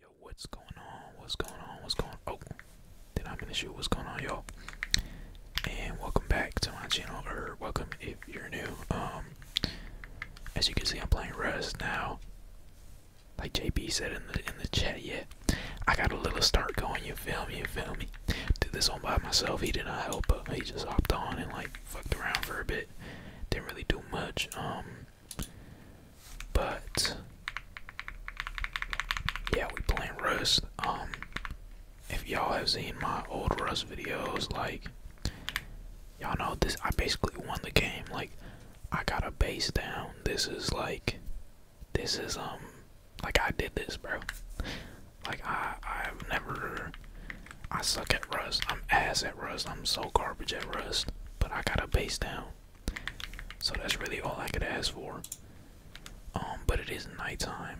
Yo, what's going on? What's going on? What's going on? Oh, then I am miss show What's going on, y'all? And welcome back to my channel, or welcome if you're new. Um, as you can see, I'm playing Rust now. Like JB said in the in the chat, yeah, I got a little start going. You feel me? You feel me? Did this all by myself. He did not help, but uh, he just hopped on and like fucked around for a bit. Didn't really do much. Um, but yeah, we playing Rust. Um, if y'all have seen my old Rust videos, like y'all know this, I basically won the game. Like I got a base down. This is like, this is um, like I did this, bro. Like I, I've never. I suck at Rust. I'm ass at Rust. I'm so garbage at Rust. But I got a base down. So that's really all I could ask for. Um, but it is nighttime.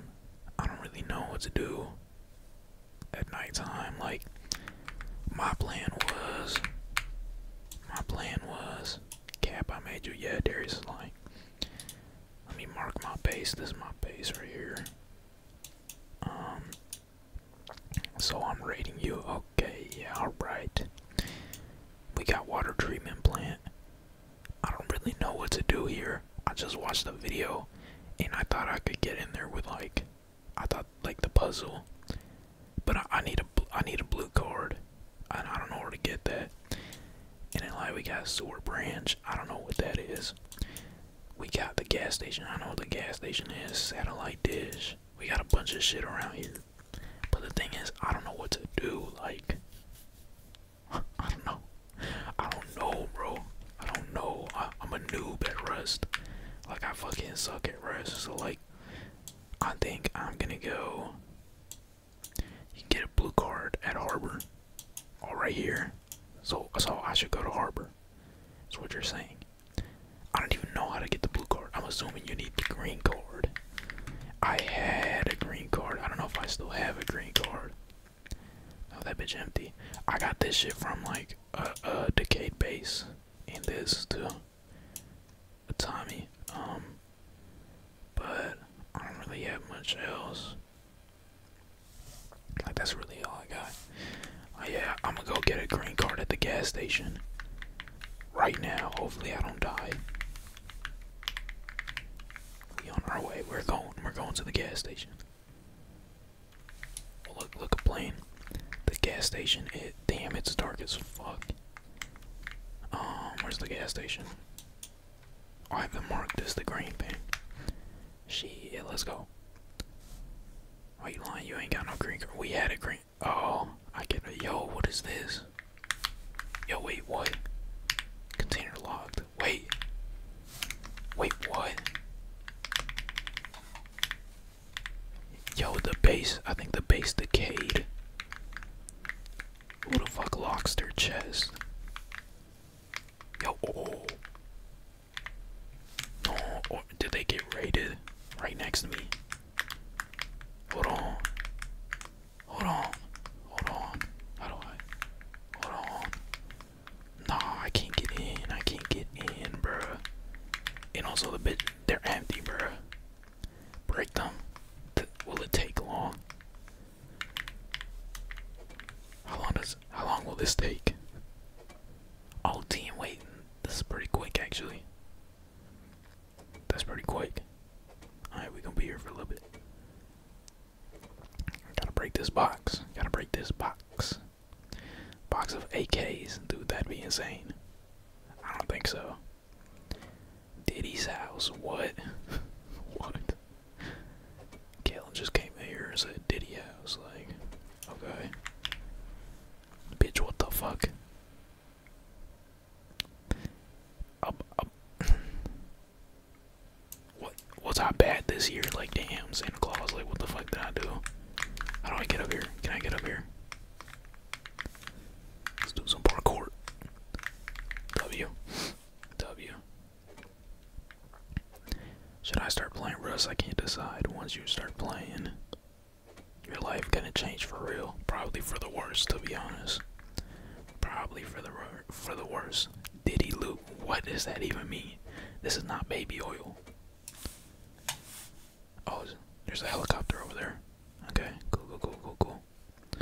I don't really know what to do at nighttime. Like, my plan was, my plan was, Cap, I made you. Yeah, Darius is lying. Let me mark my base. This is my base right here. Um, so I'm rating you. Okay, yeah, alright. We got water treatment plant. I don't really know what to do here. I just watched the video and I thought I could get in there with like I thought like the puzzle. But I, need a I need a blue card. And I don't know where to get that. And then like we got sewer branch. I don't know what that is. We got the gas station. I know what the gas station is. Satellite dish. We got a bunch of shit around here. But the thing is, I don't know what to do. Like, I don't know. I don't know, bro. I don't know. I, am a noob at Rust. Like, I fucking suck at Rust. So, like, I think I'm gonna go. You can get a blue card at Harbor. All right here. So, so I should go to Harbor. That's what you're saying. I don't even know how to get the blue card. I'm assuming you need the green card. I had a green card. I don't know if I still have a green card. Oh, that bitch empty. I got this shit from like a, decay base. in this to A Tommy. Um. But I don't really have much else. Like that's really all I got. Oh, yeah, I'm gonna go get a green card at the gas station right now. Hopefully I don't die. We on our way. We're going. We're going to the gas station. look, look, a plane. The gas station. It damn, it's dark as fuck. Um, where's the gas station? Oh, I haven't marked this the green thing. Shit, let's go. Why you lying? You ain't got no green We had a green. Oh, I get a yo. What is this? Yo, wait, what? Container locked. Wait. Wait, what? Yo, the base. I think the base decayed. Who the fuck locks their chest? Yo, oh, oh, oh. did they get raided right next to me? Hold on. Hold on. Hold on. How do Hold on. No, I can't get in. I can't get in, bruh. And also the bit they're empty, bruh. Break them. Th will it take long? How long does how long will this take? Oh team waiting. this is pretty quick actually. That's pretty quick. Alright, we're gonna be here for a little bit. Gotta break this box. Gotta break this box. Box of AKs. Dude, that'd be insane. I don't think so. Diddy's house. What? what? Kalen just came here and said Diddy house. Like, okay. Bitch, what the fuck? Up, up. What was I bad this year? Like, damn, Santa Claus. Like, what the fuck did I do? How do I get up here? Can I get up here? Let's do some parkour. W. W. Should I start playing Russ? I can't decide. Once you start playing, your life gonna change for real. Probably for the worse, to be honest. Probably for the for the worse. Diddy Loop, what does that even mean? This is not baby oil. Oh, there's a helicopter over there. Okay, go go go go go.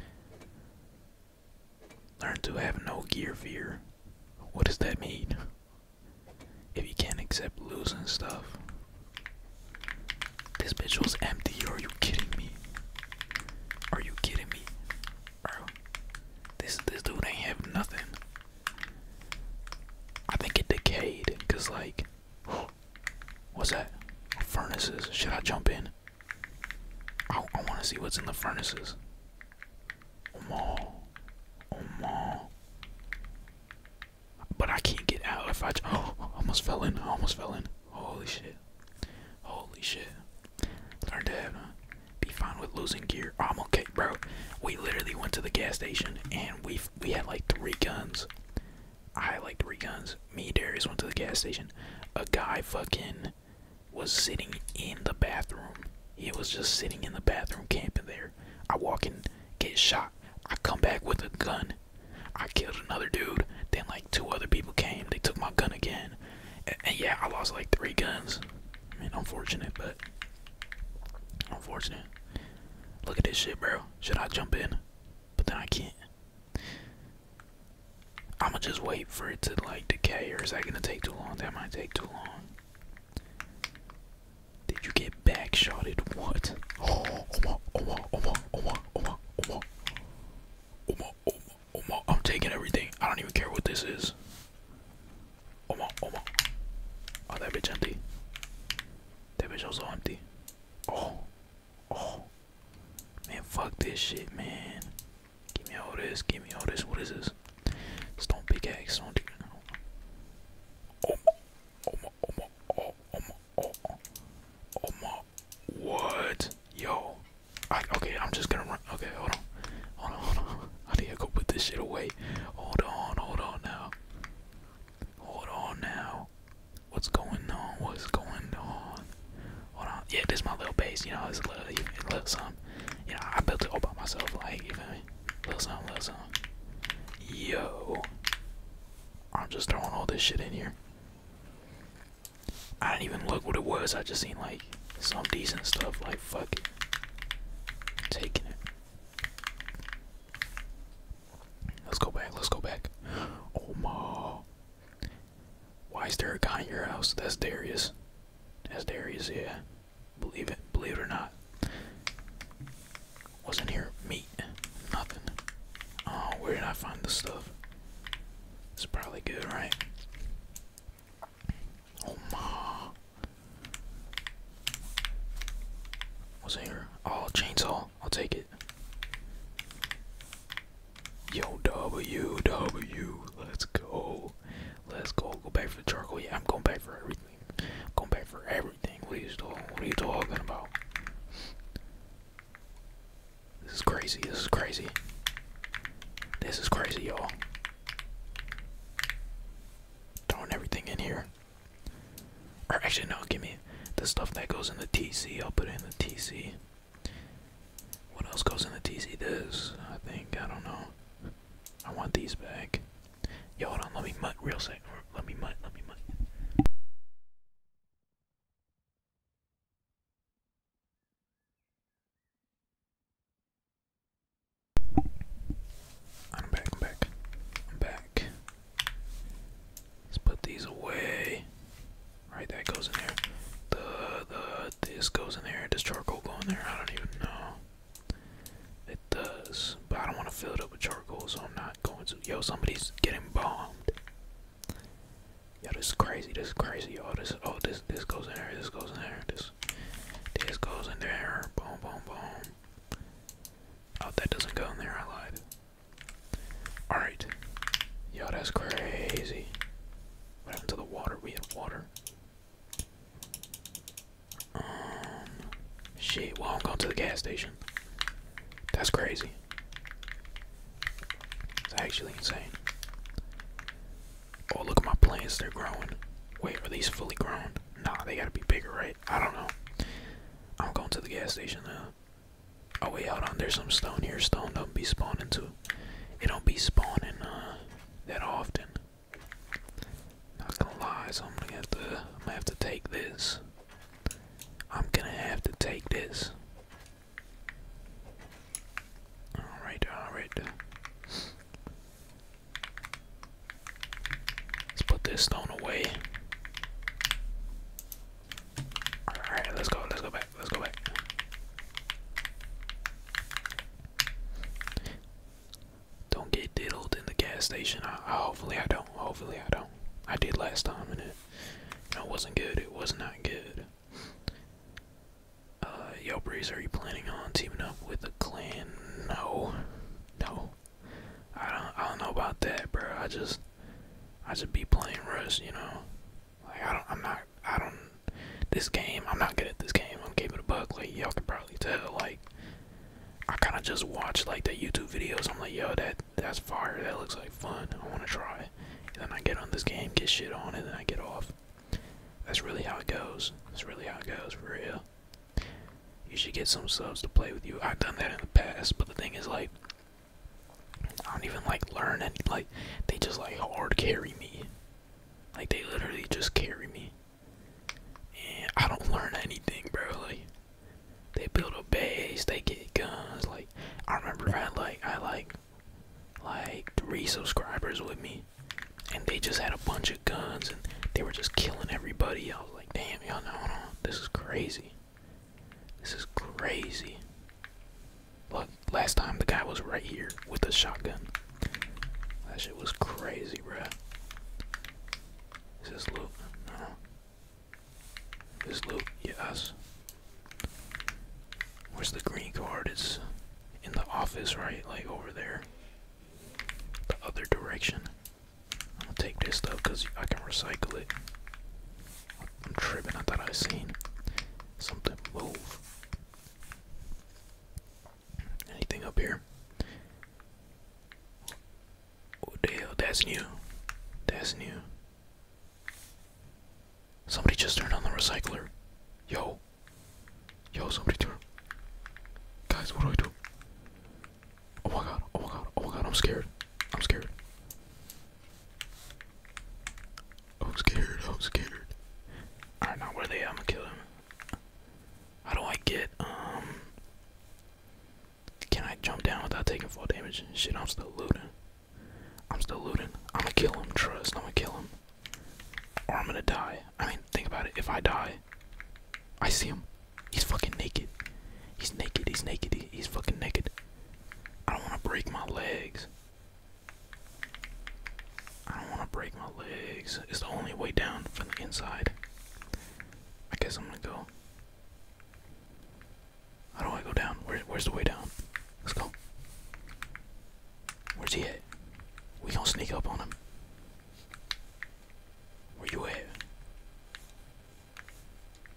Learn to have no gear fear. What does that mean? If you can't accept losing stuff, this bitch was empty. Are you kidding me? Are you kidding me? this this dude ain't have nothing. I think it decayed, cause like, what's that? Furnaces. Should I jump in? I, want to see what's in the furnaces. Oh Oh Omal, but I can't get out if I. Oh, almost fell in. almost fell in. Holy shit. Holy shit. Learn to have, uh, be fine with losing gear. I'm okay, bro. We literally went to the gas station and we we had like three guns. I had like three guns. Me, Darius went to the gas station. A guy fucking was sitting in the bathroom. He was just sitting in the bathroom camping there. I walk in, get shot. I come back with a gun. I killed another dude. Then like two other people came. They took my gun again. And, yeah, I lost like three guns. I mean, unfortunate, but unfortunate. Look at this shit, bro. Should I jump in? But then I can't. I'ma just wait for it to like decay, or is that gonna take too long? That might take too long. Did you get back shot it. What? Oh, oh, oh, oh, oh, oh, oh, oh, I'm taking everything. I don't even care what this is. Oh, oh, oh, oh, that bitch empty. That bitch also empty. Oh, oh, man, fuck this shit, man. Give me all this. Give me all this. What is this? Stone pickaxe. Stone. Oh, oh, oh my, oh my, oh my, what? Yo, okay, I'm just gonna run. Okay, hold on, hold on, hold on. I need to go put this shit away. Hold on, hold on now. Hold on now. What's going on? What's going on? Hold on. Yeah, this is my little base. You know, it's a little, little something. You know, I built it all by myself. Like, you feel Little something, little something. Yo. I'm just throwing all this shit in here. I didn't even look what it was. I just seen like some decent stuff. Like fuck taking it. Let's go back. Let's go back. Oh my! Why is there a guy in your house? That's Darius. That's Darius. Yeah, believe it. Believe it or not. Wasn't here? Meat. Nothing. Oh, where did I find this stuff? It's probably good, right? Oh my. What's in here? Oh, chainsaw. I'll take it. Yo, W, W. Let's go. Let's go. Go back for the charcoal. Yeah, I'm going back for everything. going back for everything. what are you talking about? This is crazy. This is crazy. This is crazy, y'all. Throwing everything in here. Or actually, no, give me the stuff that goes in the TC. I'll put it in the TC. What else goes in the TC? This, I think. I don't know. I want these back. Yo, hold on. Let me mutt real quick. Let me mutt. Let me mutt. I'm back, I'm back, I'm back. Let's put these away. Right, that goes in there. The the this goes in there. Does charcoal go in there? I don't even know. It does, but I don't want to fill it up with charcoal so I'm not going to. Yo, somebody's getting bombed. Yo, this is crazy. This is crazy. Yo, this. Oh, this. This goes in there. This goes in there. This. This goes in there. Boom, boom, boom. Oh, that doesn't go in there. I lied. All right. Yo, that's crazy. What happened to the water? We have water. Um. Shit. Well, I'm going to the gas station. That's crazy. It's actually insane. Oh, look at my plants, they're growing. Wait, are these fully grown? Nah, they gotta be bigger, right? I don't know. I'm going to the gas station now. Oh, wait, hold on. There's some stone here. Stone don't be spawning too. It don't be spawning uh, that often. Not gonna lie, so I'm gonna have to, I'm gonna have to take this. I'm gonna have to take this. Alright, alright. Let's put this stone away. Alright, let's go, let's go back, let's go back. Don't get diddled in the gas station. hopefully I don't. Hopefully I don't. I did last time and it it wasn't good. It was not that good. Uh, yo, Breeze, are you planning on teaming up with a clan? No, no. I don't. I don't know about that, bro. I just, I just be playing Rush, you know. Like I don't. I'm not. I don't. This game, I'm not good at this game. I'm keeping a buck. Like y'all can probably tell. Like I kind of just watch like the YouTube videos. I'm like, yo, that that's fire. That looks like fun. I want to try. And then I get on this game, get shit on, it, and then I get off. That's really how it goes. That's really how it goes, for real. You should get some subs to play with you. I've done that in the past, but the thing is, like, I don't even like learn and like they just like hard carry me. Like they literally just carry me. And I don't learn anything, bro. Like they build a base, they get guns, like I remember I had like I like like three subscribers with me and they just had a bunch of guns and they were just killing everybody. I was like, damn y'all know this is crazy. This is crazy. Look, last time the guy was right here with a shotgun. That shit was crazy, bruh. Is this loot? No. This loop, yes. Where's the green card? It's in the office, right? Like over there. The other direction. i will take this stuff because I can recycle it. I'm tripping. I thought I seen something move. Anything up here? Oh, damn, that's new. That's new. Somebody just turned on the recycler. Yo. Yo, somebody turn. Guys, what do I do? Oh my god, oh my god, oh my god, I'm scared. I'm scared. I'm scared, I'm scared. Alright, now where they at? I'm gonna kill him. How do I get, um. Can I jump down without taking full damage? Shit, I'm still looting. I'm still looting. I'm gonna kill him, trust. I'm gonna kill him. Or I'm gonna die. I mean, think about it. If I die, I see him. He's fucking naked. He's naked. He's naked. he's fucking naked. I don't wanna break my legs. I don't wanna break my legs. It's the only way down from the inside. I guess I'm gonna go. How do I go down? where's the way down? Let's go. Where's he at? We gonna sneak up on him. Where you at?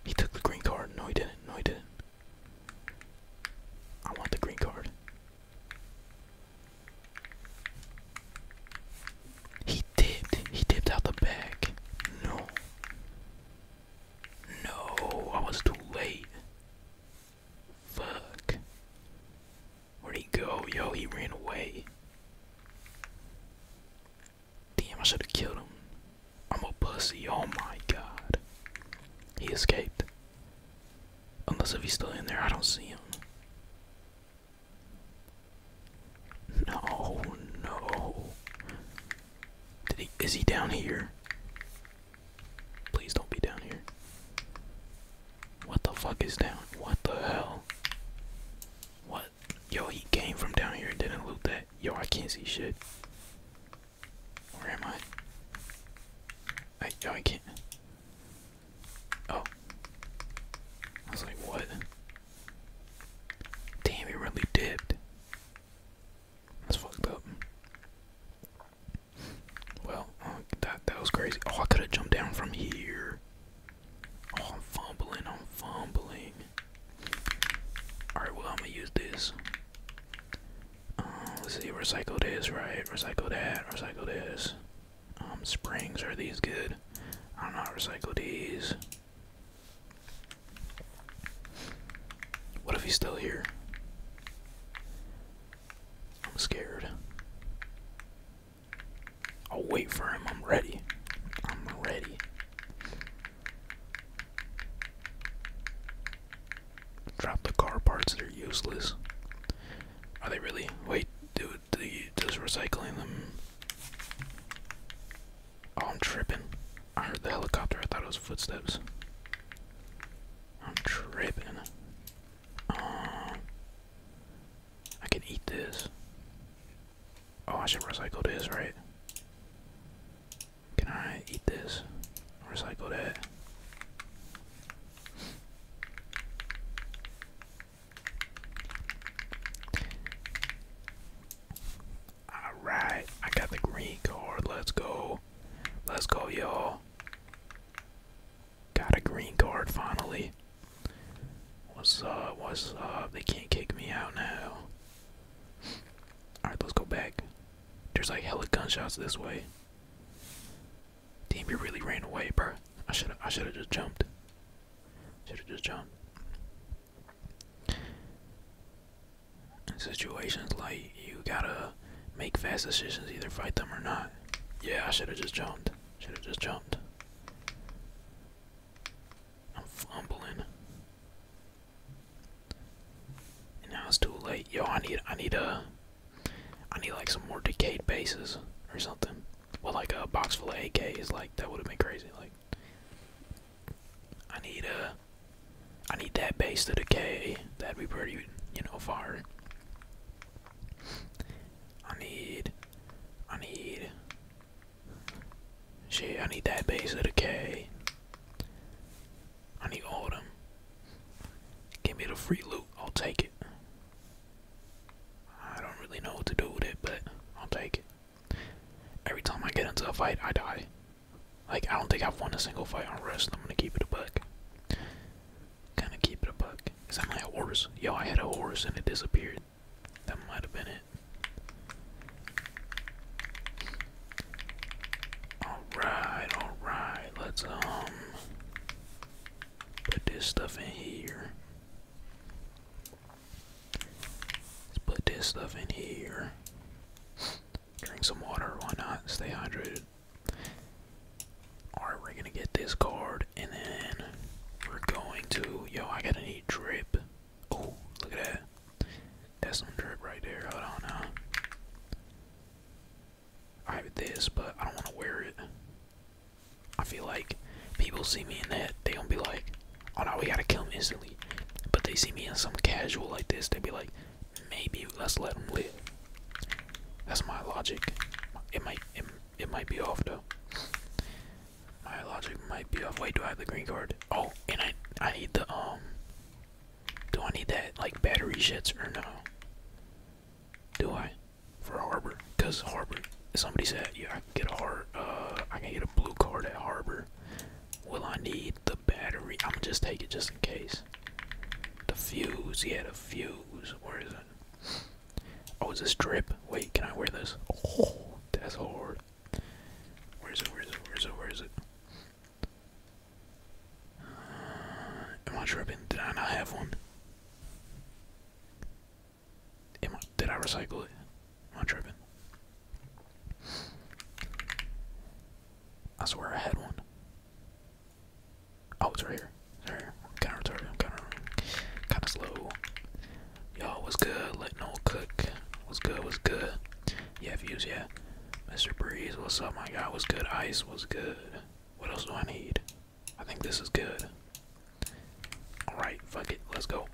He took the green card. No, he didn't. No, he didn't. I want the green card. He dipped. He dipped out the back. No. No, I was too late. Fuck. Where'd he go? Yo, he ran away. Damn, I should have killed him. I'm a pussy. Oh my god. He escaped. Unless if he's still in there, I don't see him. No, no. Did he is he down here? Please don't be down here. What the fuck is down? What the hell? What? Yo, he came from down here and didn't loot that. Yo, I can't see shit. Where am I? I yo, I can't. Oh. I was like, what? Damn, he really dipped. That's fucked up. Well, uh, that that was crazy. Oh, I could have jumped down from here. Oh, I'm fumbling. I'm fumbling. All right, well, I'm gonna use this. Um, let's see, recycle this, right? Recycled that. Recycled is. Um, springs are these good? I don't know. Recycle these. What if he's still here? I'm scared. I'll wait for him. I'm ready. I'm ready. Drop the car parts that are useless. Are they really? Wait, dude, does recycling them Oh, I'm tripping. I heard the helicopter. I thought it was footsteps. I'm tripping. Um, I can eat this. Oh, I should recycle this, right? Can I eat this? Recycle that. All right, I got the green card. Let's go. Let's go, y'all. Got a green card finally. What's up? What's up? They can't kick me out now. Alright, let's go back. There's like hella gunshots this way. Damn, you really ran away, bro. I should I should have just jumped. Should have just jumped situations like you gotta make fast decisions, either fight them or not. Yeah, I should have just jumped. Should have just jumped. I'm fumbling. now it's too late. Yo, I need, I need a, I need like some more decayed bases or something. Well, like a box full of AKs, like that would have been crazy. Like, I need a. Uh, I need that base to decay. That'd be pretty, you know, far. I need. I need. Shit, I need that base to decay. I need all of them. Give me the free loot. I'll take it. I don't really know what to do with it, but I'll take it. Every time I get into a fight, I die. Like, I don't think I've won a single fight on rest. I'm gonna keep it a buck. Gonna keep it a buck. Is that my horse? Yo, I had a horse and it disappeared. That might have been it. Alright, alright. Let's, um, put this stuff in here. Let's put this stuff in here. Drink some water, why not? Stay hydrated. Alright, we're gonna get this card and then we're going to yo I gotta need drip. Oh, look at that. That's some drip right there. I don't know. I have this, but I don't wanna wear it. I feel like people see me in that, they gonna be like, Oh no, we gotta kill them instantly. But they see me in some casual like this, they would be like, maybe let's let them live. That's my logic. It might it, it might be off though. My logic might be off. Wait, do I have the green card? Oh, and I I need the um. Do I need that like battery shits or no? Do I? For Harbor, cause Harbor. Somebody said yeah, I can get a hard. Uh, I can get a blue card at Harbor. Will I need the battery? I'm just take it just in case. The fuse, yeah, the fuse. Where is it? Oh, is this drip? Wait, can I wear this? Oh, that's hard. Where is it? Where is it? Where is it? Where is it? Uh, am I tripping? Did I not have one? Am I? Did I recycle it? i tripping. I swear I had one. Oh, it's right here. It's I'm kinda retarded. I'm kinda, slow. Y'all was good. Letting old cook. Was good. Was good. Yeah, views. Yeah. Mr. Breeze. What's up, my guy? Was good. Ice. Was good. What else do I need? I think this is good. Alright, fuck it. Let's go.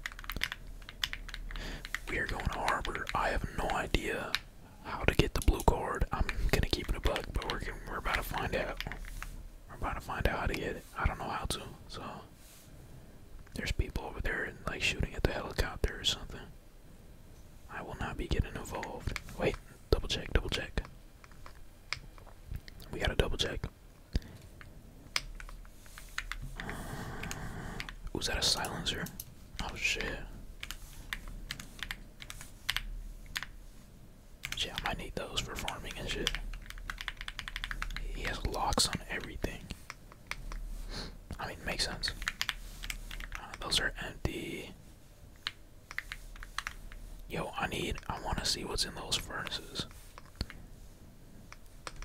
We are going to Harbor. I have no idea how to get the blue card. I'm gonna keep it a bug, but we're gonna, we're about to find out. We're about to find out how to get it. I don't know how to. So there's people over there like shooting at the helicopter or something. I will not be getting involved. Wait, double check, double check. We gotta double check. Was that a silencer? Oh shit. Shit, I might need those for farming and shit. He has locks on everything. I mean, makes sense. Uh, those are empty. Yo, I need. I want to see what's in those furnaces.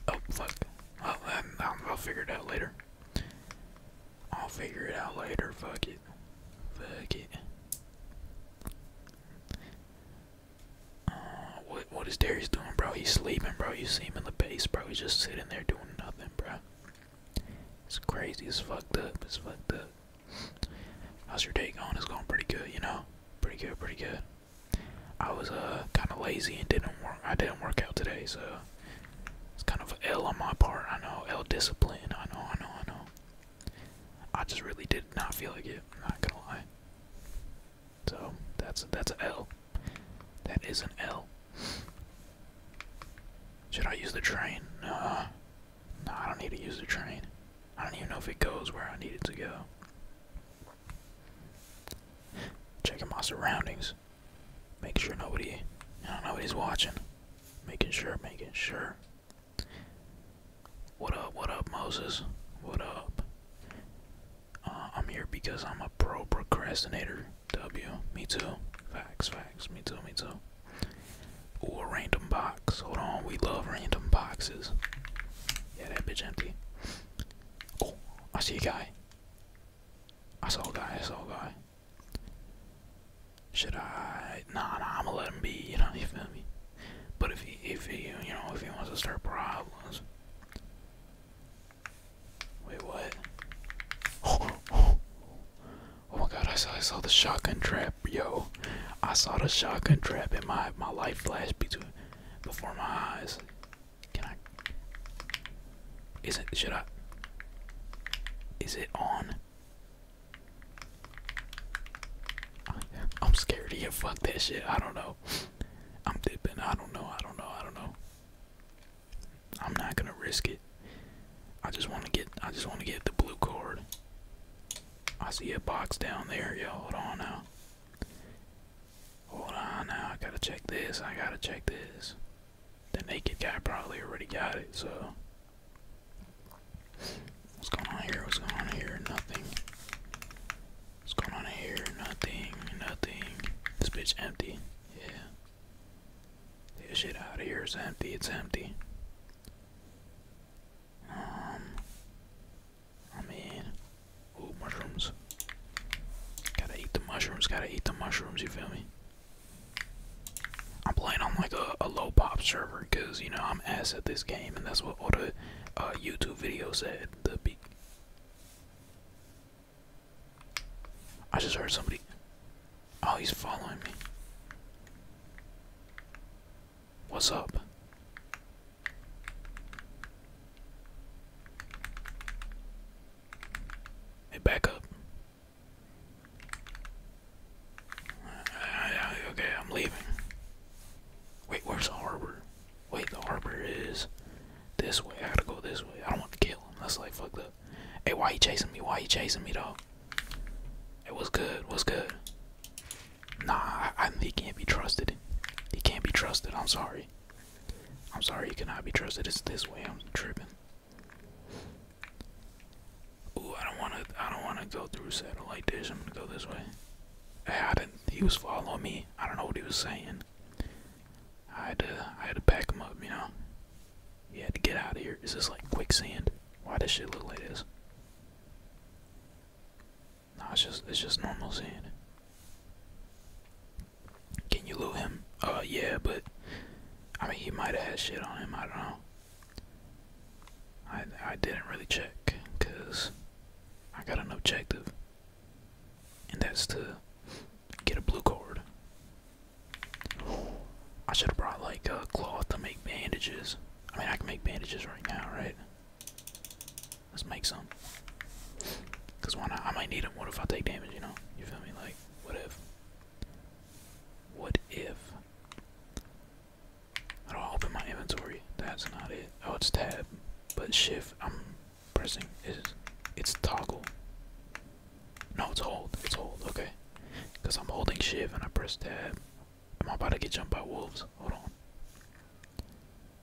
Oh, fuck. I'll, um, I'll figure it out later. I'll figure it out later. Fuck it. Fuck it. Uh, what what is Darius doing, bro? He's sleeping, bro. You see him in the base, bro. He's just sitting there doing nothing, bro. It's crazy. as fucked up. It's fucked up. How's your day going? It's going pretty good, you know. Pretty good. Pretty good. I was uh kind of lazy and didn't work. I didn't work out today, so it's kind of L on my part. I know L discipline. I know. I know. I know. I just really did not feel like it. I'm not gonna lie. So that's that's an L. That is isn't L. Should I use the train? Nah. no, I don't need to use the train. I don't even know if it goes where I need it to go. Checking my surroundings. Make sure nobody, nobody's watching. Making sure, making sure. What up, what up, Moses? What up? Uh, I'm here because I'm a pro procrastinator. W, me too. Facts, facts, me too, me too. Ooh, random box. Hold on, we love random boxes. Yeah, that bitch empty. Oh, I see you, guy. I saw a guy, I saw guy. Should I? Nah, nah, I'ma let him be. You know, you feel me? But if he, if he, you know, if he wants to start problems. Wait, what? Oh, oh, oh my God! I saw, I saw the shotgun trap, yo. I saw the shotgun trap, and my my light flashed between before my eyes. Can I? Is it? Should I? Is it on? I'm scared to get Fuck that shit. I don't know. I'm dipping. I don't know. I don't know. I don't know. I'm not gonna risk it. I just want to get. I just want to get the blue card. I see a box down there. Yo, hold on now. Hold on now, I gotta check this, I gotta check this. The naked guy probably already got it, so. What's going on here? What's going on here? Nothing. What's going on here? Nothing. Nothing. This bitch empty. Yeah. this shit out of here. empty. It's empty. Um. I mean, Ooh, mushrooms. Gotta eat the mushrooms, gotta eat the mushrooms, you feel me? I'm playing on like a, a low pop server because, you know, I'm ass at this game and that's what all the uh, YouTube videos said. The be I just heard somebody. Oh, he's following me. What's up? Hey, back up. Uh, okay, I'm leaving. Wait, where's the harbor? Wait, the harbor is this way. I gotta go this way. I don't want to kill him. That's like fuck up. Hey, why you chasing me? Why you chasing me, dog? It was good? What's good? Nah, he can't be trusted. He can't be trusted. I'm sorry. I'm sorry, you cannot be trusted. It's this way. I'm tripping. Ooh, I don't wanna. I don't wanna go through saddle like this. I'm gonna go this way. I didn't. He was following me. I don't know what he was saying. I had to. I had to pack him up. You know. He had to get out of here. Is this like quicksand? Why does shit look like this? No, it's just. It's just normal sand. Can you loot him? Uh, yeah, but I mean, he might have had shit on him. I don't know. I I didn't really check because I got an objective, and that's to get a blue cord. I should have brought like a cloth to make bandages. I mean, I can make bandages right now, right? Let's make some. Cause why not? I might need him. What if I take damage? You know? You feel me? Like, what if? What if? I don't open my inventory. That's not it. Oh, it's tab, but shift. I'm pressing. Is it's toggle? No, it's hold. It's hold. Okay. Cause I'm holding shift and I press tab. Am I about to get jumped by wolves? Hold on.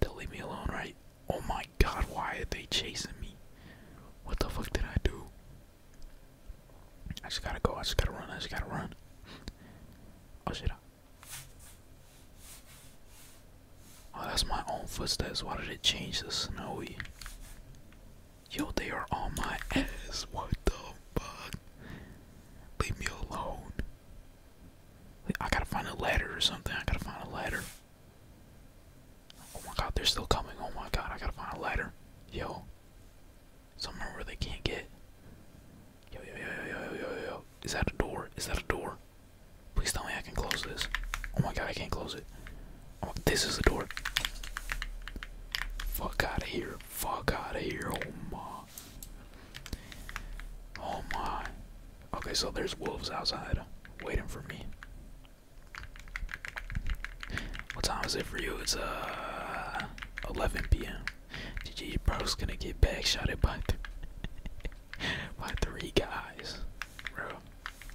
They'll leave me alone, right? Oh my god, why are they chasing me? What the fuck did I do? I just gotta go, I just gotta run, I just gotta run. Oh shit. Oh, that's my own footsteps. Why did it change to snowy? Yo, they are on my ass. What the fuck? Leave me alone. I gotta find a ladder or something. I gotta find a ladder. Oh my god, they're still coming. Oh my god, I gotta find a ladder. Yo. Somewhere where they can't get. Yo, yo, yo, yo, yo, yo, yo. Is that a door? Is that a door? Please tell me I can close this. Oh my god, I can't close it. Oh, this is the door. Fuck out of here. Fuck out of here. Oh my. Oh my. Okay, so there's wolves outside waiting for me. What time is it for you? It's uh 11 p.m. GG, bro's gonna get back shot at by three guys, bro.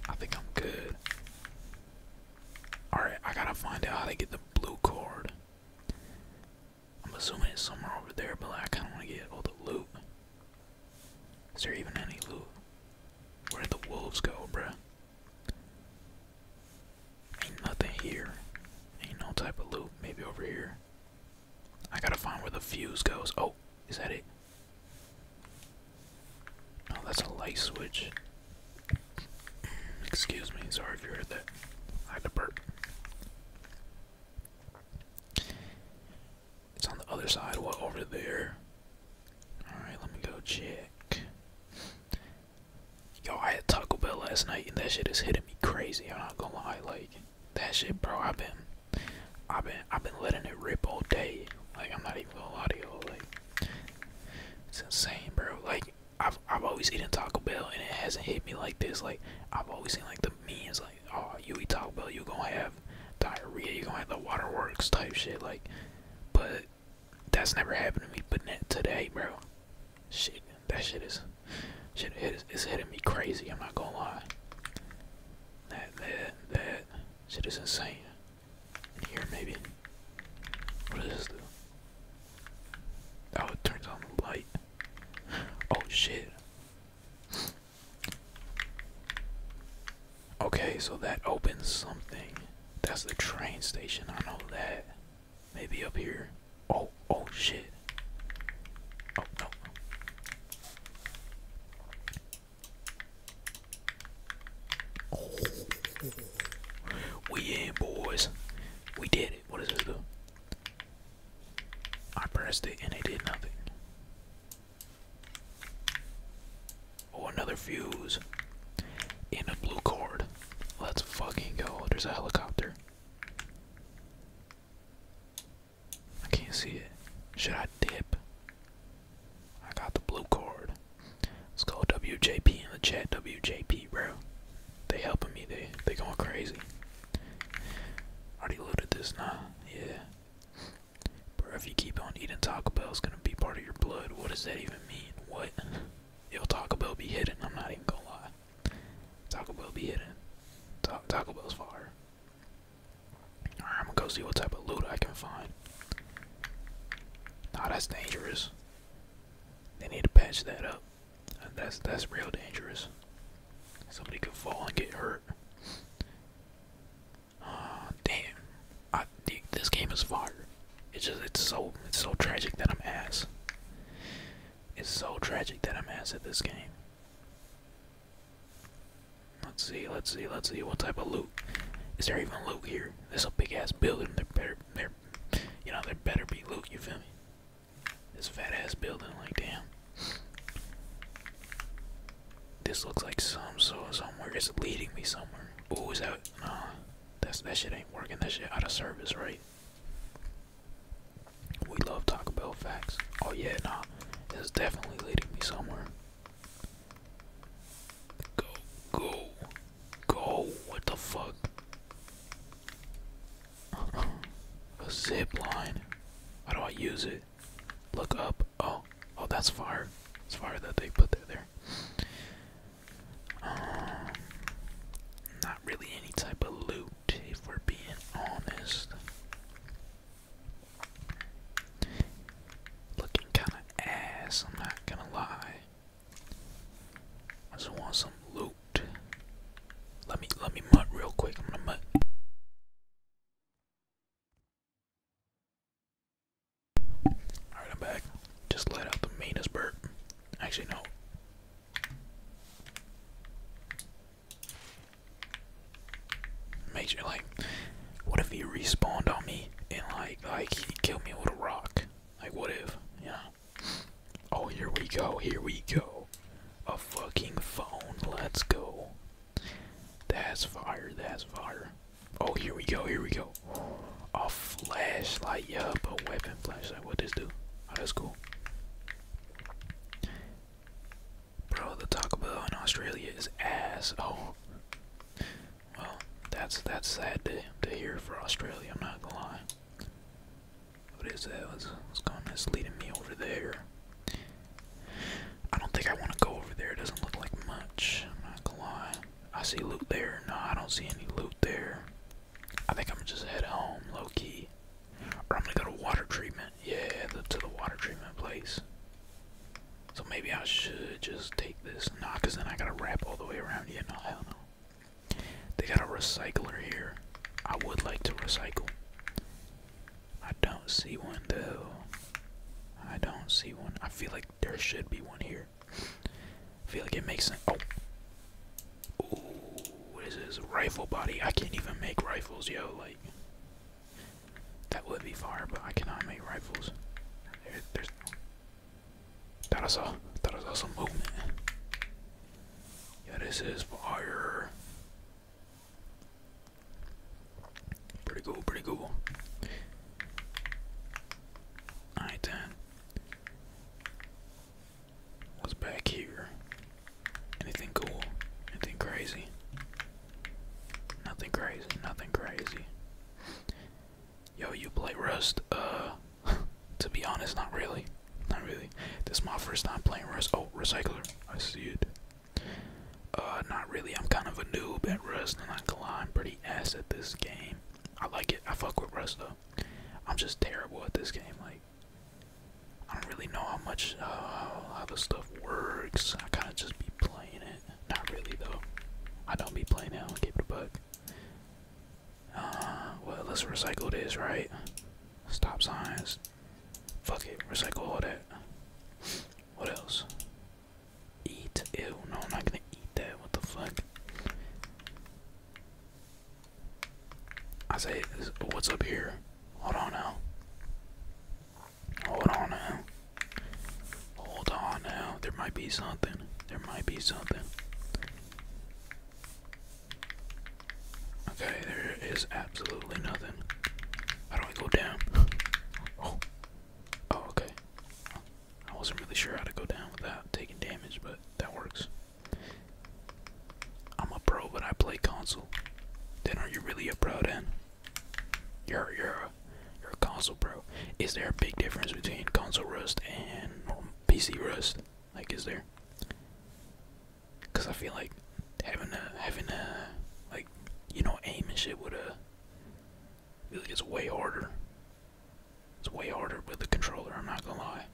I think I'm good. All right, I gotta find out how to get the blue cord. I'm assuming it's somewhere over there, but like, I kind of want to get all the loot. Is there even any loot? Where did the wolves go, bruh? Ain't nothing here. Ain't no type of loot. Maybe over here. I gotta find where the fuse goes. Oh, is that it? Oh, that's a light switch. Excuse me, sorry if you heard that. I had to burp. It's on the other side, what over there? Alright, let me go check. Yo, I had Taco Bell last night and that shit is hitting me crazy. I'm not gonna lie, like that shit bro, I've been I've been I've been letting it rip all day. Like I'm not even gonna lie like it's insane bro. Like I've I've always eaten Taco Bell and it hasn't hit me like this. Like I've always been like the me means like, oh, you eat Taco Bell, you gonna have diarrhea, you gonna have the waterworks type shit. Like, but that's never happened to me. But that today, bro, shit, that shit is, shit is it's hitting me crazy. I'm not gonna lie. That that that shit is insane. In here, maybe. What this Oh, it turns on the light. Oh shit. Okay, so that opens something. That's the train station. I know that. Maybe up here. Oh, oh shit. Oh no. We in, boys. We did it. What does this do? I pressed it and it did nothing. Oh, another fuse. in a blue cord. Let's fucking go. There's a helicopter. I can't see it. Should I dip? I got the blue cord. Let's go WJP in the chat. WJP, bro. They helping me. They they going crazy. Already loaded this now. Yeah. But if you keep on eating Taco Bell, it's gonna be part of your blood. What does that even mean? What? Yo, Taco Bell be hidden. I'm not even gonna lie. Taco Bell be hidden. Taco Bell's far. I'm gonna go see what type of loot I can find. Nah, that's dangerous. They need to patch that up that's that's real dangerous. Somebody could fall and get hurt. Uh, damn, I this game is fire. It's just it's so it's so tragic that I'm ass. It's so tragic that I'm ass at this game. Let's see, let's see, let's see what type of loot. Is there even loot here? This a big ass building. There better, there, you know, there better be loot. You feel me? This fat ass building, like damn. This looks like some so somewhere. is leading me somewhere. Ooh, is that no? That's that shit ain't working. That shit out of service, right? We love Taco Bell facts. Oh yeah, nah. It's definitely leading me somewhere. Go, go, go! What the fuck? A zip line. How do I use it? Look up. Oh, oh, that's fire. It's fire that they put there. There. Uh, not really any type of loot, if we're being honest. Looking kind of ass. I'm not gonna lie. I just want some loot. Let me let me mutt real quick. I'm gonna mutt. Alright, I'm back. Just let out the meanest burp. Actually no. Make sure like what if he respawned on me and like like he killed me with a rock? Like what if? Yeah. Oh here we go, here we go. A fucking phone. Let's go. That's fire. That's fire. Oh, here we go. Here we go. A flashlight. Yup. A weapon flashlight. What does do? Oh, that's cool. Bro, the Taco Bell in Australia is ass. Oh. Well, that's that's sad to, to hear for Australia. I'm not gonna lie. What is that? What's, going on? It's me over there. I don't think I want to go over there. It doesn't look like much. I'm not gonna lie. I see loot there. No, I don't see any loot there. I think I'm gonna just head home, low key. Or I'm gonna go to water treatment. Yeah, to the water treatment place. So maybe I should just take this. Nah, because then I gotta wrap all the way around. Yeah, no, hell no. They got a recycler here. I would like to recycle. I don't see one though. I don't see one. I feel like there should be one here. I feel like it makes sense. Oh. Ooh, what is this? Rifle body. I can't even make rifles, yo. Like, that would be fire, but I cannot make rifles. There, there's. That is a. That is also movement. Yeah, this is fire. Pretty cool, pretty cool. Alright then. What's back here? Anything cool? Anything crazy? Nothing crazy, nothing crazy. Yo, you play Rust? Uh, to be honest, not really. Not really. This is my first time playing Rust. Oh, Recycler. I see it. Uh, not really. I'm kind of a noob at Rust, and I can am pretty ass at this game. I like it. I fuck with Rust, though. I'm just terrible at this game. Like, I don't really know how much, uh, how the stuff works. I kind of just be playing it. Not really, though. I don't be playing it. I'll keep it a buck. Uh, well, let's recycle this, right? Stop signs. Fuck it, recycle all that. What else? Eat? Ew, no, I'm not gonna eat that. What the fuck? I say, what's up here? Hold on now. Hold on now. Hold on now. There might be something. There might be something. Okay, there is absolutely nothing. How do I go down? Oh. oh, okay. I wasn't really sure how to go down without taking damage, but that works. I'm a pro, but I play console. Then are you really a pro then? You're you're a, you're a console pro. Is there a big difference between console rust and PC rust? Like, is there? Cause I feel like having a having a like you know aim and shit would uh like it's way harder. It's way harder with the controller. I'm not gonna lie.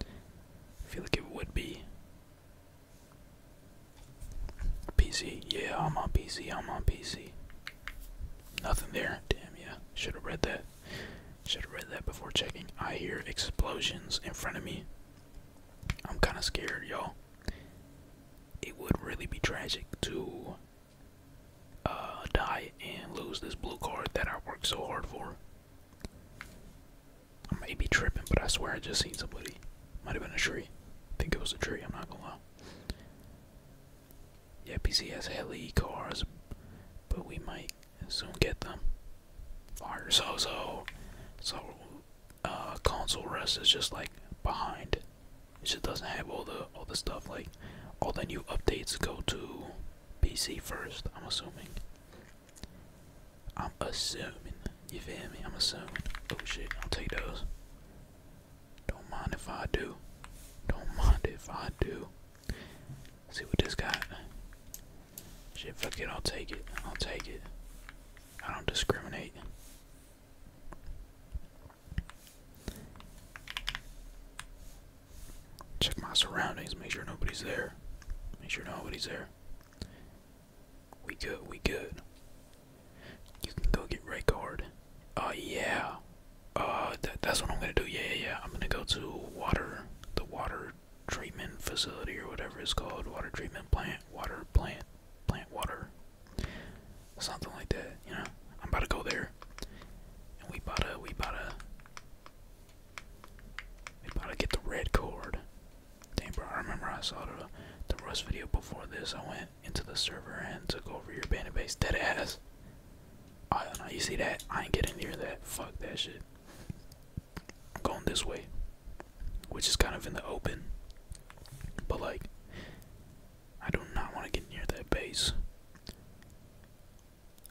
I feel like it would be. PC, yeah, I'm on PC. I'm on PC. Nothing there. Damn, yeah. Should have read that. Should have read that before checking. I hear explosions in front of me. I'm kind of scared, y'all. It would really be tragic to uh, die and lose this blue card that I worked so hard for. I may be tripping, but I swear I just seen somebody. Might have been a tree. think it was a tree, I'm not gonna lie. Yeah, PC has heli cars, but we might soon get them our so So uh, console rest is just like behind. It just doesn't have all the all the stuff like all the new updates go to PC first. I'm assuming. I'm assuming. You feel me? I'm assuming. Oh shit! I'll take those. Don't mind if I do. Don't mind if I do. see what this got. Shit, fuck it, I'll take it. I'll take it. I don't discriminate. Check my surroundings, make sure nobody's there. Make sure nobody's there. We good, we good. You can go get red card. Oh uh, yeah. Uh, that's what I'm gonna do. yeah, yeah. I'm gonna go to water, the water treatment facility or whatever it's called, water treatment plant, water plant, plant water, something like that. You know, I'm about to go there, and we about to, we about to, we about to get the red cord. Damn, bro, I remember I saw the the Rust video before this. I went into the server and took over your bandit base. Dead ass. Oh, you see that? I ain't getting near that. Fuck that shit going this way, which is kind of in the open. But like, I do not want to get near that base.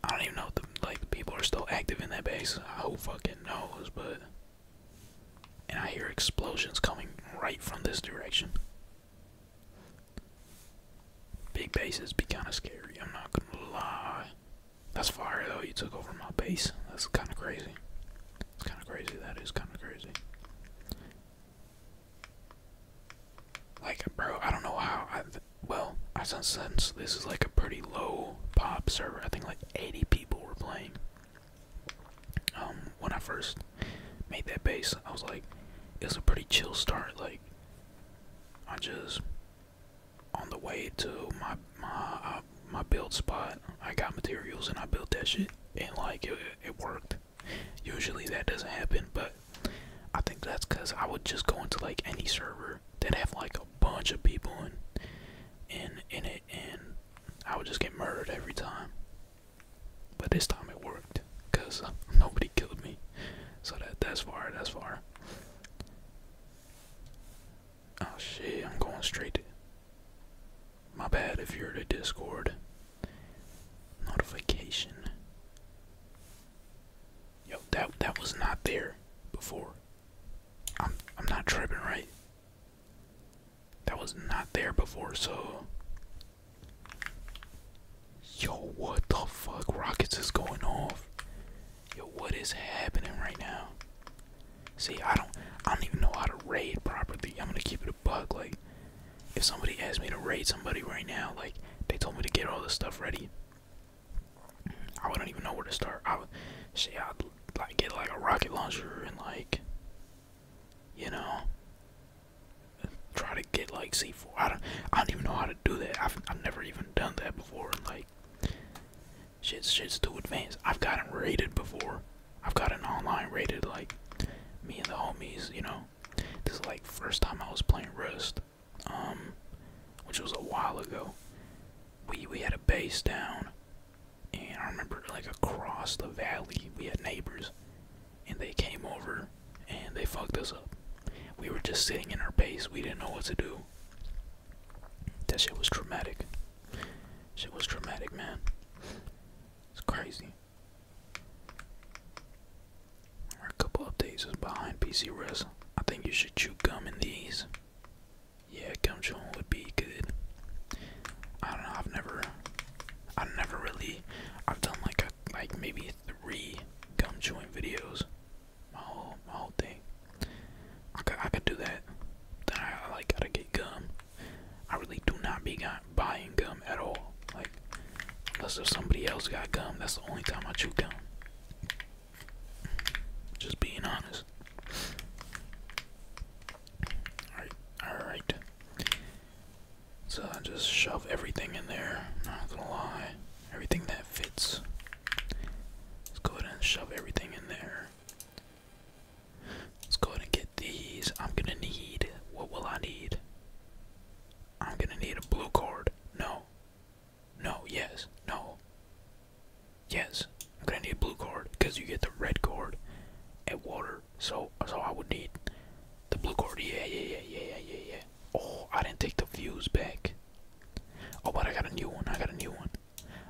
I don't even know if like people are still active in that base. Who fucking knows? But and I hear explosions coming right from this direction. Big bases be kind of scary. I'm not gonna lie. That's fire though, you took over my base. That's kinda crazy. It's kinda crazy, that is kinda crazy. Like, bro, I don't know how I well, I sense since this is like a pretty low pop server. I think like 80 people were playing. Um, when I first made that base, I was like, it was a pretty chill start. Like, I just on the way to my my uh, my build spot, I got materials and I built that shit, and like it, it worked. Usually that doesn't happen, but I think that's because I would just go into like any server that have like a bunch of people in, in in it, and I would just get murdered every time. But this time it worked, cause nobody killed me. So that that's far, that's far. Oh shit, I'm going straight my bad if you're to Discord. Notification. Yo, that that was not there before. I'm I'm not tripping, right? That was not there before, so Yo, what the fuck? Rockets is going off. Yo, what is happening right now? See, I don't, I don't even know how to raid properly. I'm gonna keep it a bug. Like, if somebody asked me to raid somebody right now, like they told me to get all this stuff ready, I wouldn't even know where to start. I would, shit, I'd like get like a rocket launcher and like, you know, try to get like C4. I don't, I don't even know how to do that. I've, I've never even done that before. And like, Shit's shit's too advanced. I've gotten rated before. I've got an online rated like me and the homies, you know. This is like first time I was playing Rust. Um which was a while ago. We we had a base down and I remember like across the valley we had neighbors and they came over and they fucked us up. We were just sitting in our base, we didn't know what to do. That shit was traumatic. Shit was traumatic, man. It's crazy. a couple updates is behind PC Res. I think you should chew gum in these. Yeah, gum chewing would be good. I don't know. I've never, I've never really, I've done like a, like maybe three gum chewing videos. My whole, my whole thing. I could, do that. I, like to get gum. I really do not be buying gum at all. Like, unless if somebody else got gum, that's the only time I chew gum. Just being honest. Alright, alright. So I just shove everything in there. Not gonna lie. Everything that fits. Let's go ahead and shove everything in there. Let's go and get these. I'm gonna need. What will I need? I'm gonna need a blue card. No. No, yes. No. Yes. I'm gonna need a blue card because you get the red card at water. So, so I would need the blue card. Yeah, yeah, yeah, yeah, yeah, yeah. Oh, I didn't take the views back. Oh, but I got a new one. I got a new one.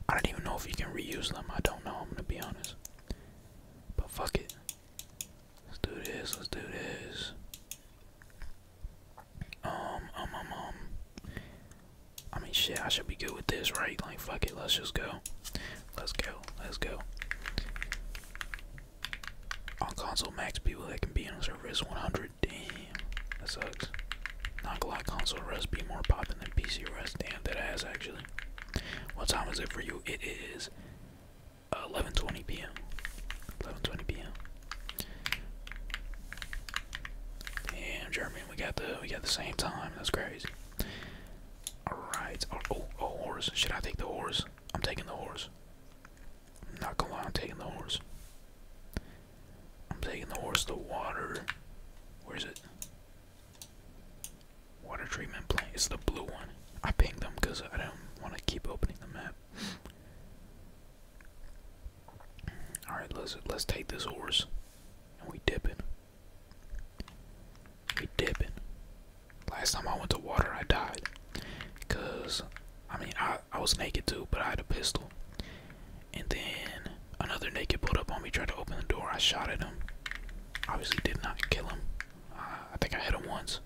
I don't even know if you can reuse them. I don't know. I'm gonna be honest. But fuck it. Let's do this. Let's do this. Um, um, um, um, I mean, shit. I should be good with this, right? Like, fuck it. Let's just go. Let's go. Let's go. On console, max people that can be on server is 100. Damn, that sucks. Not gonna lie, console rest be more poppin' than PC rest. Damn, that ass actually. What time is it for you? It is 11:20 p.m. 11:20 p.m. Damn, German, we got the we got the same time. That's crazy. All right. Oh, oh, oh, horse. Should I take the horse? I'm taking the horse. not gonna lie, I'm taking the horse. I'm taking the horse to water. Where's it? Water treatment plant. It's the blue one. I pinged them because I don't want to keep opening the map. All right, let's let's take this horse, and we dipping. We dip dipping. Last time I went to water, I died, cause I mean I I was naked too, but I had a pistol, and then another naked pulled up on me, tried to open the door. I shot at him. Obviously, did not kill him. Uh, I think I hit him once.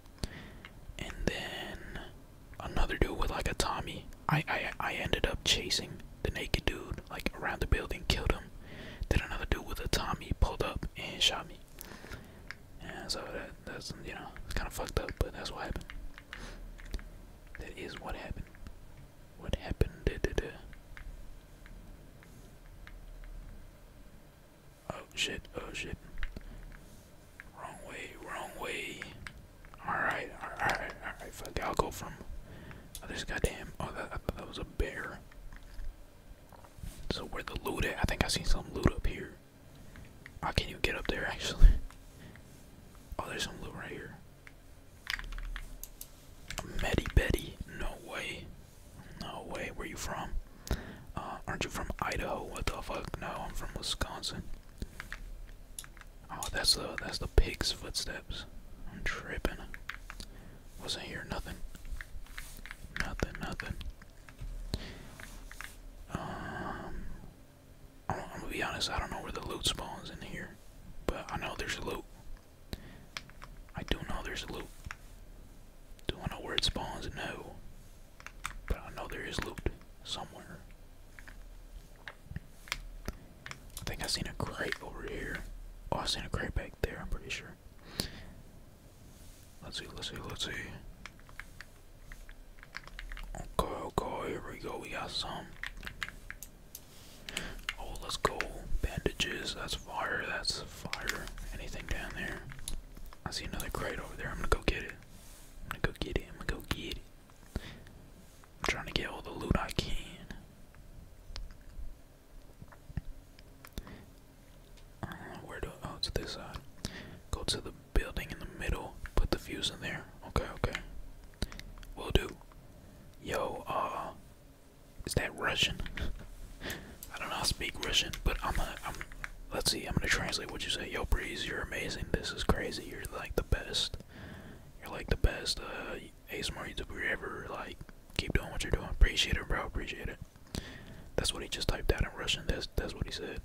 And then another dude with like a Tommy. I, I I ended up chasing the naked dude like around the building, killed him. Then another dude with a Tommy pulled up and shot me. And so that that's you know it's kind of fucked up, but that's what happened. That is what happened. What happened? Oh shit, oh shit. Wrong way, wrong way. Alright, alright, alright, fuck I'll go from oh this goddamn oh that I thought that was a bear. So where the loot at? I think I seen some loot up here. I can't even get up there actually. Oh there's some loot right here. Medi Betty, no way. No way, where you from? Uh, aren't you from Idaho? What the fuck? No, I'm from Wisconsin. Oh, that's the that's the pig's footsteps. I'm tripping. Wasn't here nothing. Nothing, nothing. Um, i I'm gonna be honest. I don't know where the loot spawns in here, but I know there's loot. I do know there's loot. Do not know where it spawns? No. But I know there is loot somewhere. I think I seen a crate over here. Oh, I seen a crate back there, I'm pretty sure. Let's see, let's see, let's see. Okay, okay, here we go. We got some. Oh, let's go. Bandages, that's fire, that's fire. Anything down there? I see another crate over there. I'm gonna go get it. I'm gonna go get it. I'm gonna go get it. I'm trying to get all the loot I can. Uh, where do oh to this side? Go to the building in the middle. Put the fuse in there. Okay, okay. Will do. Yo, ah. Is that Russian? I don't know how to speak Russian, but I'm gonna, let's see, I'm gonna translate what you say. Yo, Breeze, you're amazing. This is crazy. You're like the best. You're like the best uh, ASMR YouTuber ever. Like, keep doing what you're doing. Appreciate it, bro. Appreciate it. That's what he just typed out in Russian. That's that's what he said.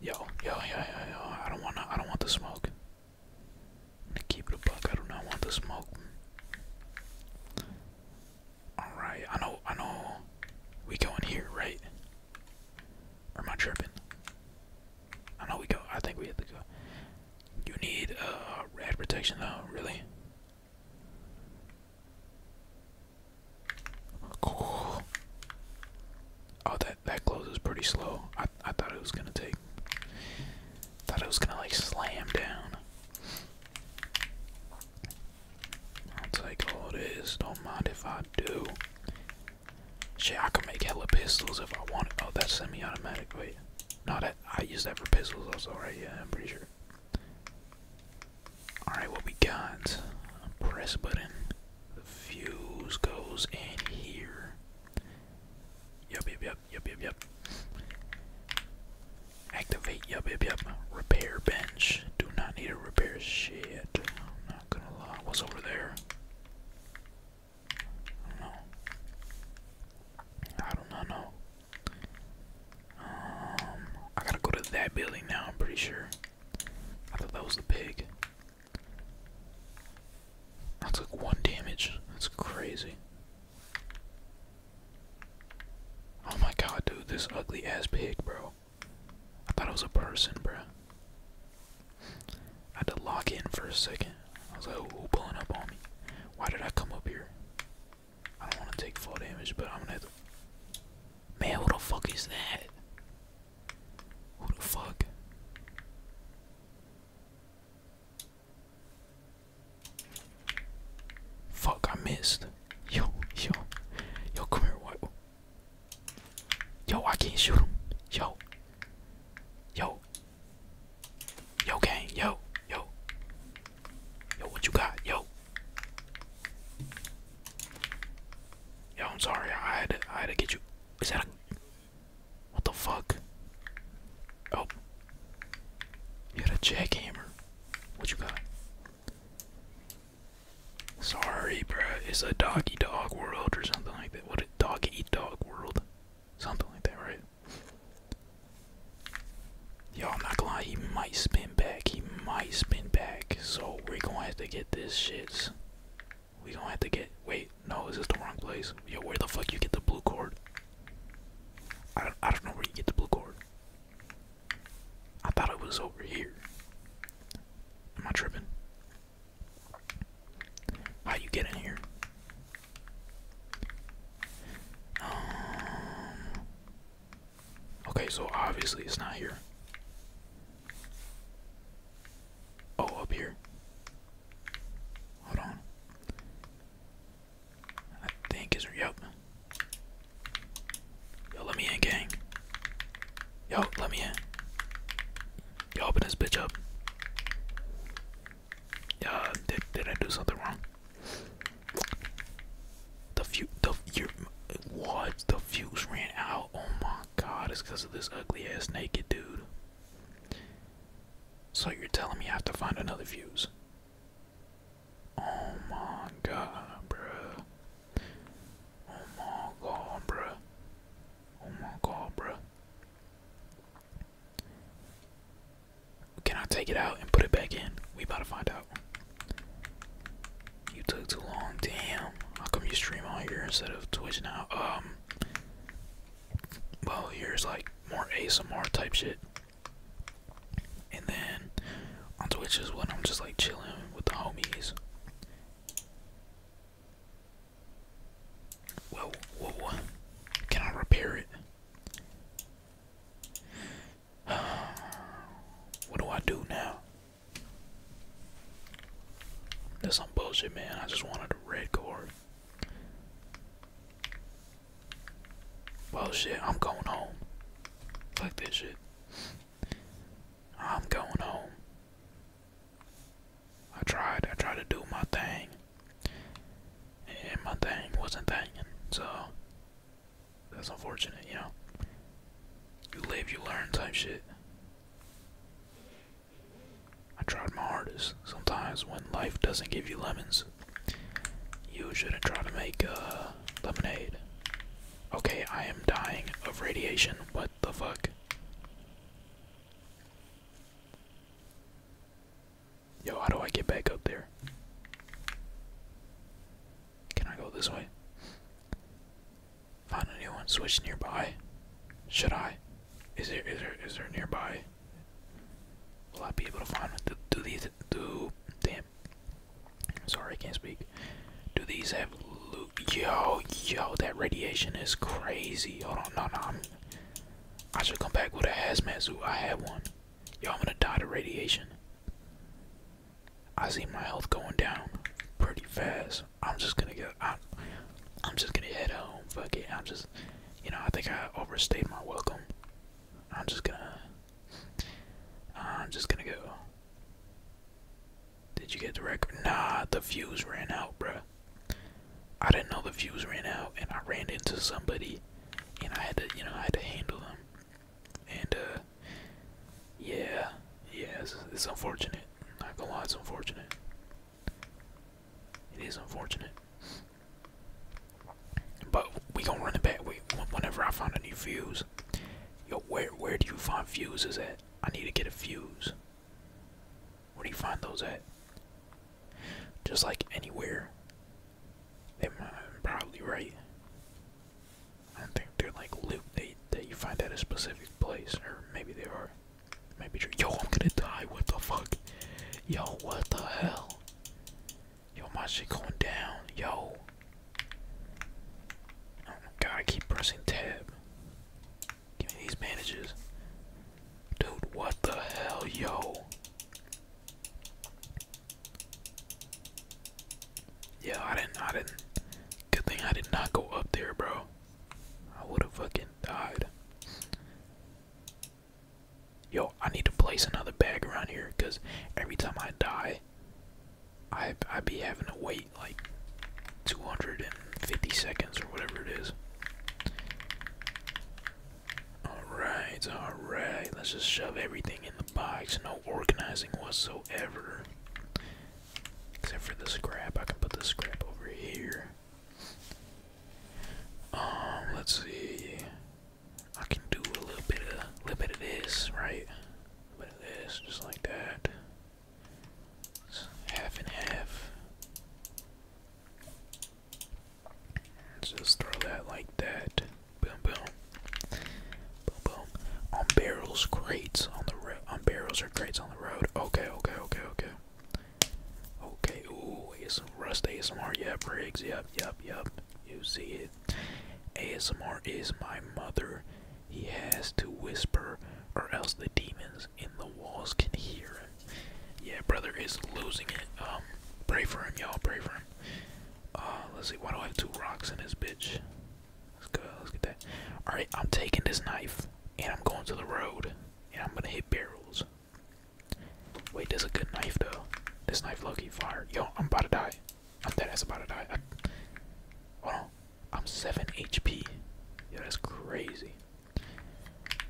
Yo, yo, yo, yo, I don't wanna I don't want the smoke. i keep it buck. I do not want the smoke. Alright, I know I know we going here, right? Or am I tripping? I know we go I think we have to go. You need uh rad protection though, really? Cool. Oh, that that closes pretty slow. I I thought it was gonna take. Thought it was gonna like slam down. I'll take all this. Don't mind if I do. Shit, I can make hella pistols if I wanted. Oh, that's semi-automatic. Wait, no, that I use that for pistols also, right? Yeah, I'm pretty sure. All right, what we got? Press button. The fuse goes in here. Yup, yup, yup, yup, yup, yup. Activate, yup, yup, yup. Repair bench. Do not need a repair shit. I'm not gonna lie. What's over there? I don't know. I do not know. Um, I gotta go to that building now, I'm pretty sure. I thought that was the pig. That's like one damage. That's crazy. Oh my god, dude, this ugly ass pig, bro. I thought it was a person, bro. I had to lock in for a second. I was like, "Who pulling up on me. Why did I come up here? I don't want to take full damage, but I'm gonna have to. Man, what the fuck is that? Who the fuck? Fuck, I missed. Yo, yo, yo, come here, what? Yo, I can't shoot him. Yo, yo, yo, gang, yo, yo, yo, what you got, yo? Yo, I'm sorry, I had to, I had to get you. Is that what the fuck? Oh. You got a jackhammer. What you got? Sorry, bruh. It's a doggy dog world or something like that. What a dog eat dog world. Something like that, right? Y'all, I'm not gonna lie, he might spin back. He might spin back. So we're gonna have to get this shit. We gonna have to get. Wait, no, is this the wrong place? Yo, where the fuck you get the blue cord? I don't. I don't know where you get the blue cord. I thought it was over here. Am I tripping? How you get in here? Um, okay, so obviously it's not here. Oh, up here. Hold on. I think it's yep. Yo, let me in, gang. Yo, let me in. Yo, open this bitch up. Yeah, did did I do something wrong? The few the your what the fuse ran out. Oh my god, it's because of this ugly ass naked dude. So you're telling me I have to find another fuse? Oh my god, bruh. Oh my god, bruh. Oh my god, bruh. Can I take it out and put it back in? We about to find out. You took too long, damn. How come you stream on here instead of Twitch now? Um, well, here's like more ASMR type shit. And then on Twitch is when I'm just like chilling with the homies. Whoa, whoa, Can I repair it? what do I do now? That's some bullshit, man. I just wanted a red card. Well, shit, I'm going home. Fuck this shit. I'm going home. I tried, I tried to do my thing. And my thing wasn't thangin', so that's unfortunate, you know. You live, you learn type shit. I tried my hardest. Sometimes when life doesn't give you lemons, you shouldn't try to make uh, lemonade. Okay, I am dying of radiation. What the fuck? Yo, how do I get back up there? Can I go this way? Find a new one. Switch nearby. Should I? Is there is there is there nearby? Will I be able to find do, do these do damn sorry I can't speak. Do these have loot yo yo that radiation is crazy. Hold on no no i should come back with a hazmat suit. I have one. Y'all gonna die to radiation. I see my health going down pretty fast. I'm just gonna go. I'm, just gonna head home. Fuck it. I'm just, you know, I think I overstayed my welcome. I'm just gonna. I'm just gonna go. Did you get the record? Nah, the fuse ran out, bro. I didn't know the fuse ran out, and I ran into somebody, and I had to, you know, I had to handle them. And uh, yeah, yes, it's, unfortunate. Not gonna lie, it's unfortunate. It is unfortunate. But we gonna run it back. whenever I find a new fuse, yo, where where do you find fuses at? I need to get a fuse. Where do you find those at? Just like anywhere. They might probably right. I don't think they're like loot. They that you find at a specific place, or maybe they are yo, I'm gonna die. What the fuck? Yo, what the hell? Yo, my shit going down. Yo. Oh my god, I keep pressing tab. Give me these bandages. Dude, what the hell, yo? Yeah, I didn't, I didn't. Good thing I did not go up there, bro. I would have fucking died. Yo, I need to place another bag around here because every time I die, I I be having to wait like 250 seconds or whatever it is. Alright, alright, let's just shove everything in the box. No organizing whatsoever. Except for the scrap. I can put the scrap over here. Um, let's see. I can do a little bit of little bit of this, right? A little bit of this, just like that. half and half. just throw that like that. Boom, boom, boom, boom. On barrels, crates on the road. On barrels or crates on the road. Okay, okay, okay, okay. Okay, ooh, it's Rust ASMR, yep, Briggs, yep, yep, yep. You see it. ASMR is my mother. He has to whisper, or else the demons in the walls can hear him. Yeah, brother is losing it. Um, pray for him, y'all, pray for him. Uh, let's see, why do I have two rocks in this bitch? Let's go, let's get that. Alright, I'm taking this knife, and I'm going to the road and I'm gonna hit barrels. Wait, there's a good knife though. This knife lucky fire. Yo, I'm about to die. I'm dead ass about to die. I, I'm 7 HP. Yo, that's crazy.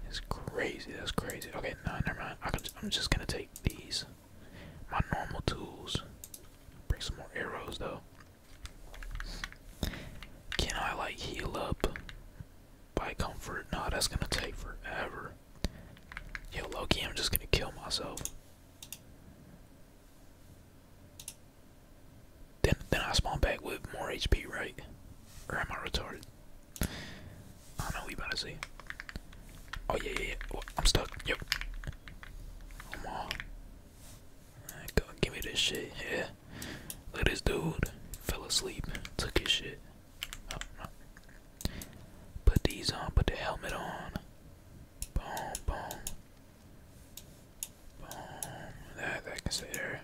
That's crazy. That's crazy. Okay, no, never mind. I I'm just gonna take these. My normal tools. Bring some more arrows though. Can I like heal up? Buy comfort. Nah, that's gonna take forever. Yo, Loki, I'm just gonna kill myself. Then, then I spawn back with more HP, right? Or am I retarded? I don't know. We about to see. Oh yeah, yeah, I'm stuck. Yep. Come on. go, give me this shit. Yeah yeah. Look this dude. Fell asleep. Took his shit. Oh, Put these on. Put the helmet on. Boom, boom. Boom. That, that can stay there.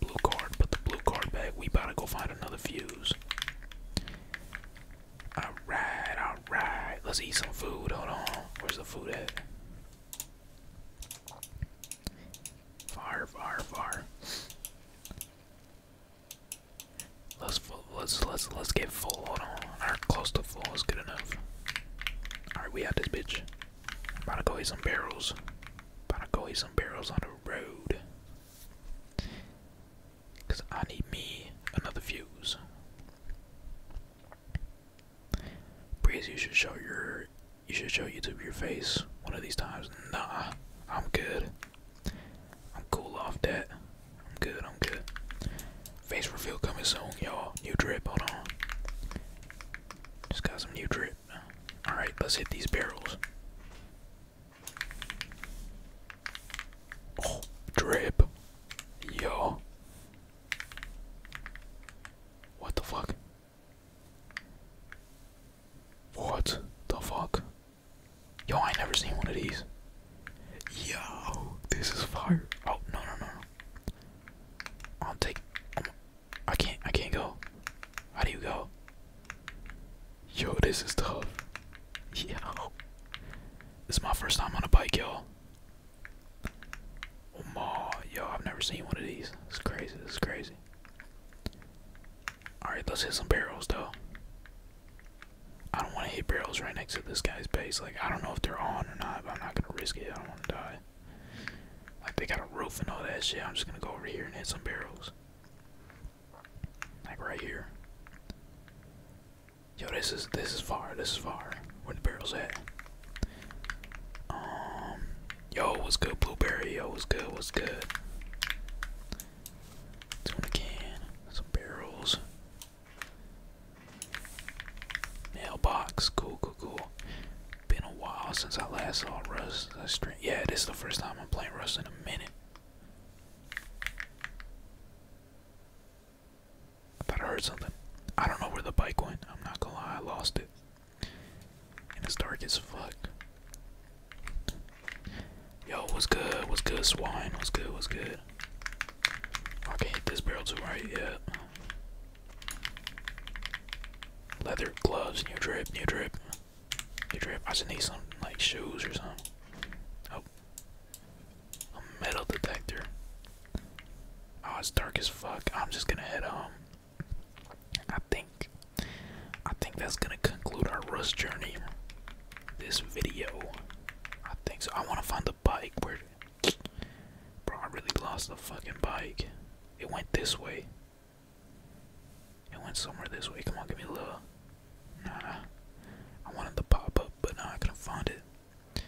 Blue card. Put the blue card back. We about to go find another fuse. Alright, alright. Let's eat some food. Hold on. Where's the food at? Far, far, far. Let's let's let's let's get full. on, our close to full is good enough. All right, we have this bitch. About to go eat some barrels. About to go eat some barrels on the road. Cause I need me another fuse. Breeze, you should show your you should show YouTube your face one of these times. Nah, I'm good. I'm cool off that. I'm good, I'm good. Face reveal coming soon, y'all. New drip, hold on. Just got some new drip. Alright, let's hit these barrels. Oh, drip. Yo. What the fuck? What the fuck? Yo, I never seen one of these. Yo, this is fire. Oh no no no I can't. I can not i can not go. How do you go? Yo, this is tough. Yo, this is my first time on a bike, yo. Oh my, yo, I've never seen one of these. It's crazy. It's crazy. Alright, let's hit some barrels though. I don't want to hit barrels right next to this guy's base. Like, I don't know if they're on or not, but I'm not going to risk it. I don't want to die. Like, they got a roof and all that shit. I'm just going to go over here and hit some barrels. Like, right here. Yo, this is, this is far. This is far. Where the barrels at? Um, Yo, what's good, blueberry? Yo, what's good? What's good? Tuna can, some barrels, mailbox. Cool, cool, cool. Been a while since I last saw Rust. Yeah, this the first time I'm playing Rust in a minute. thought I heard something. I don't know where the bike went. I'm not gonna lie, I lost it. And it's dark as fuck. Yo, what's good? What's good, swine? What's good? What's good? I this barrel too, right? Yeah. Leather gloves, new drip, new drip. New drip. I just need something like, shoes or something. Oh. A metal detector. Oh, it's dark as fuck. I'm just gonna head home. I think I think that's gonna conclude our Rust journey. This video, I think so. I want to find the bike. Where, bro? I really lost the fucking bike. It went this way. It went somewhere this way. Come on, give me a little. Nah, I wanted the pop up, but nah, I couldn't find it.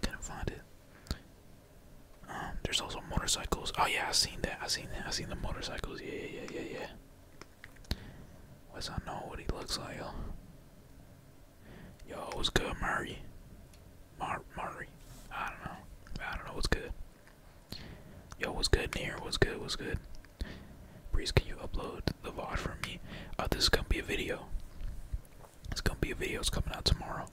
Couldn't find it there's also motorcycles. Oh yeah, I seen that. I seen that. I seen the motorcycles. Yeah, yeah, yeah, yeah, yeah. What's I know what he looks like? Yo, yo what's good, Murray? Mar Murray. I don't know. I don't know what's good. Yo, what's good, here. What's good? What's good? Breeze, can you upload the VOD for me? Oh, this is gonna be a video. It's gonna be a video. It's coming out tomorrow.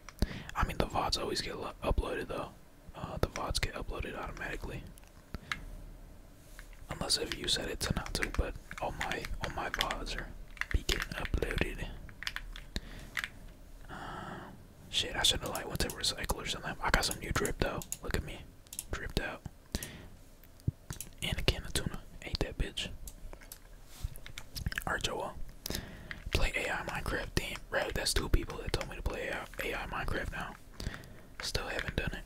I mean, the VODs always get uploaded though. Uh, the VODs get uploaded automatically. Unless if you set it to not to, but all my all my VODs are be getting uploaded. Uh, shit, I should have like went to recycle or something. I got some new drip though. Look at me, dripped out. And a can of tuna. Ate that bitch. Alright, Play AI Minecraft. Damn, right? That's two people that told me to play AI AI Minecraft now. Still haven't done it.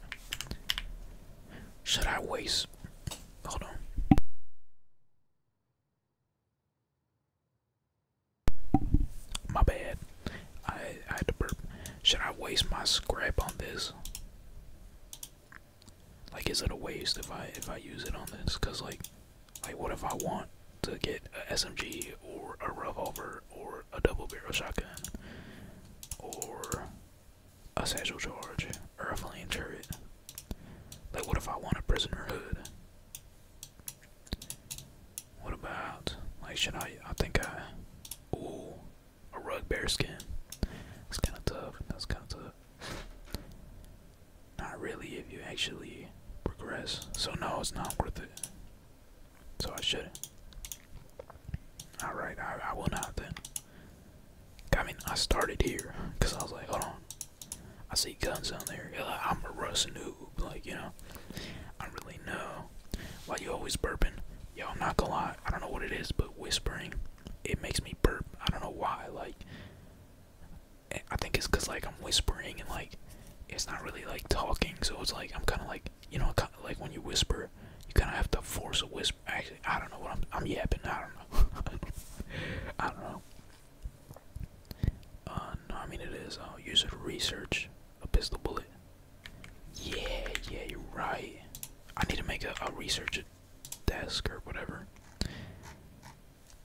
Should I waste? Hold on. My bad. I, I had to burp. Should I waste my scrap on this? Like, is it a waste if I if I use it on this? Cause like, like what if I want to get a SMG or a revolver or a double barrel shotgun or a satchel charge or a flame turret. Like, what if I want a prisoner hood? What about, like, should I? I think I. Ooh, a rug bear skin. It's kind of tough. That's kind of tough. Not really if you actually progress. So, no, it's not worth it. So I shouldn't. Alright, I, will not then. I mean, I started here because I was like, hold on. I see guns down there. Like, I'm a Russ noob. Like, you know, I really know. Why you always burping? Yo, I'm not gonna lie. I don't know what it is, but whispering, it makes me burp. I don't know why. Like, eh, I think it's because, like, I'm whispering and, like, it's not really like talking, so it's like I'm kind of like you know, kinda like when you whisper, you kind of have to force a whisper. Actually, I don't know what I'm. I'm yapping. I don't know. I don't know. Uh, no, I mean it is. Uh, use it to research a pistol bullet. Yeah, yeah, you're right. I need to make a, a research desk or whatever.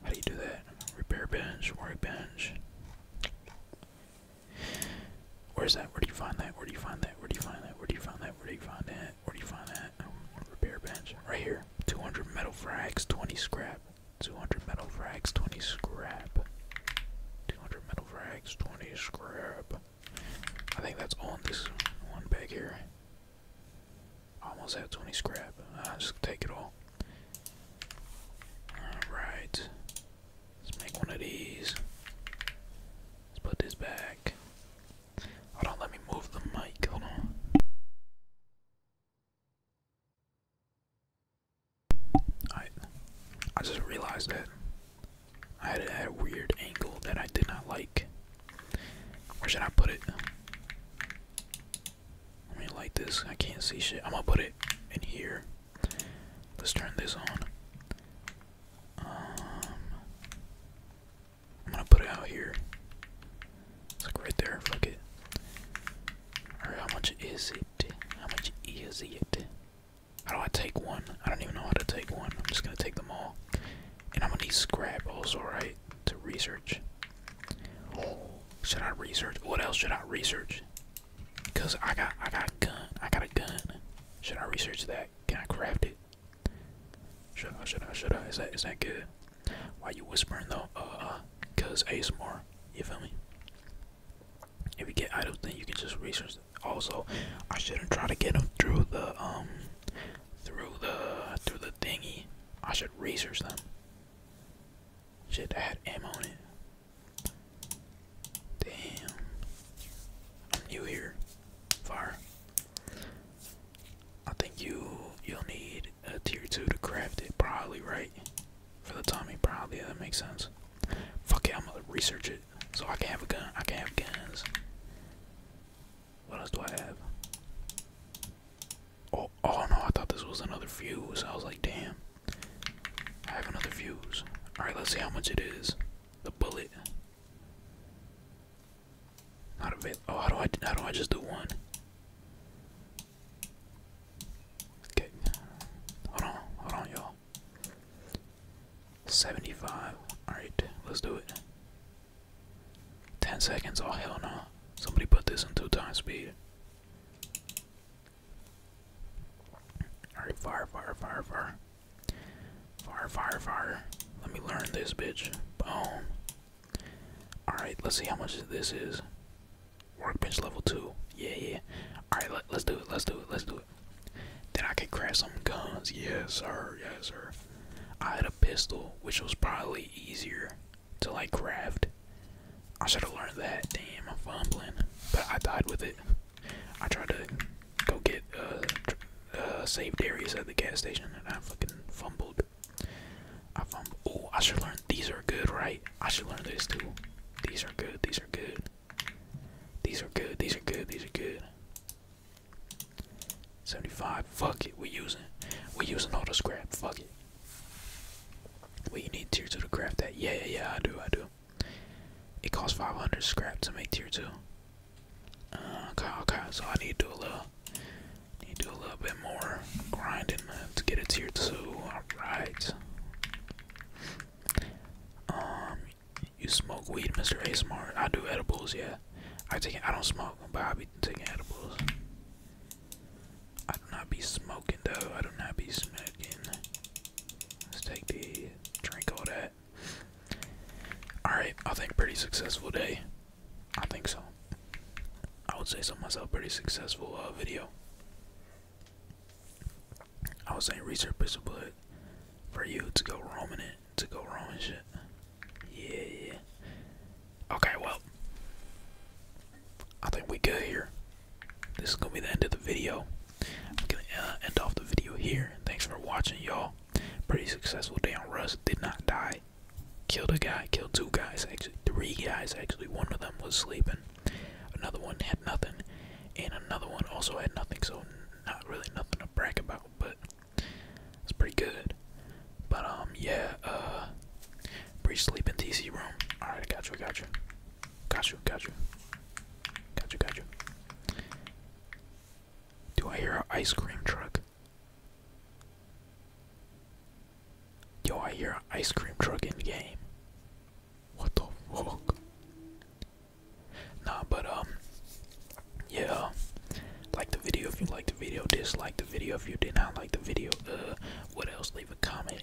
How do you do that? Repair bench, workbench. Where's that? Where do you find that? Where do you find that? Where do you find that? Where do you find that? Where do you find that? Where do you find that? Um, repair bench. Right here. 200 metal frags, 20 scrap. 200 metal frags, 20 scrap. 200 metal frags, 20 scrap. I think that's all in this one bag here. Almost at 20 scrap. I'll just take it all. Alright. Let's make one of these. Let's put this back. Hold on, let me move the mic. Hold on. I I just realized that I had, a weird angle that I did not like. Where should I put it? I mean, like this. I can't see shit. I'm gonna put it in here. Let's turn this on. Um, I'm gonna put it out here. It's like right there. Fuck it. Alright, how much is it? How much is it? How do I take one? I don't even know how to take one. I'm just gonna take them all. And I'm gonna need scrap also, right? To research. Should I research? What else should I research? Cause I got I got a gun. I got a gun. Should I research that? Can I craft it? Should I should I should I? Is that is that good? Why you whispering though? Uh, uh cause ASMR, you feel me? If we get items then you can just research also I shouldn't try to get them through the um through the through the thingy. I should research them. Shit that had ammo on it. Damn. i here. Far? I think you you'll need a tier two to craft it, probably, right? For the Tommy, probably, yeah, that makes sense. Fuck yeah, I'm gonna research it. So I can have a gun. I can not have guns. What else do I have? Oh, oh no, I thought this was another fuse. I was like, damn. I have another fuse. Alright, let's see how much it is. The bullet. Not avail oh how do I how do I just do one? Okay. Hold on, hold on y'all. 75. Alright, let's do it. 10 seconds, oh hell no. Somebody put this in two times speed. Alright, fire, fire, fire, fire. Fire, fire, fire. Let me learn this, bitch. Boom. Alright, let's see how much this is. Workbench level 2. Yeah, yeah. Alright, let, let's do it, let's do it, let's do it. Then I could craft some guns. Yes, sir, yes, sir. I had a pistol, which was probably easier to, like, craft. I should have learned that. Damn, I'm fumbling. But I died with it. I tried to go get uh, uh saved areas at the gas station and I fucking fumbled. I fumbled. Oh, I should learn. These are good, right? I should learn these too. These are good. These are good. These are good. These are good. These are good. 75. Fuck it. We're using. We're using all the scrap. Fuck it. We need tier 2 to craft that. Yeah, yeah, yeah, I do, I do. It costs 500 scrap to make tier two. Uh, okay, okay. So I need to do a little, need to do a little bit more grinding to get a tier two. All right. Um, you smoke weed, Mr. A Smart. I do edibles, yeah. I take I don't smoke, but I be taking edibles. I do not be smoking though. I do not be smoking. Let's take the drink all that. Alright, I think pretty successful day. I think so. I would say so myself, pretty successful uh, video. I was saying research is a bullet for you to go roaming it, to go roaming shit. Yeah, yeah. Okay, well, I think we good here. This is gonna be the end of the video. I'm gonna uh, end off the video here. Thanks for watching, y'all. Pretty successful day on Rust. Did not die. Killed a guy. Killed two guys actually. Three guys actually. One of them was sleeping. Another one had nothing, and another one also had nothing. So not really nothing to brag about, but it's pretty good. But um, yeah. Uh, pre sleeping TC room. All right, I got you. I got you. Got you, got you. Got you, got you. Do I hear an ice cream truck? Do I hear an ice cream truck in game. What the fuck? Nah, but, um, yeah. Like the video if you like the video, dislike the video if you did not like the video. Uh, what else? Leave a comment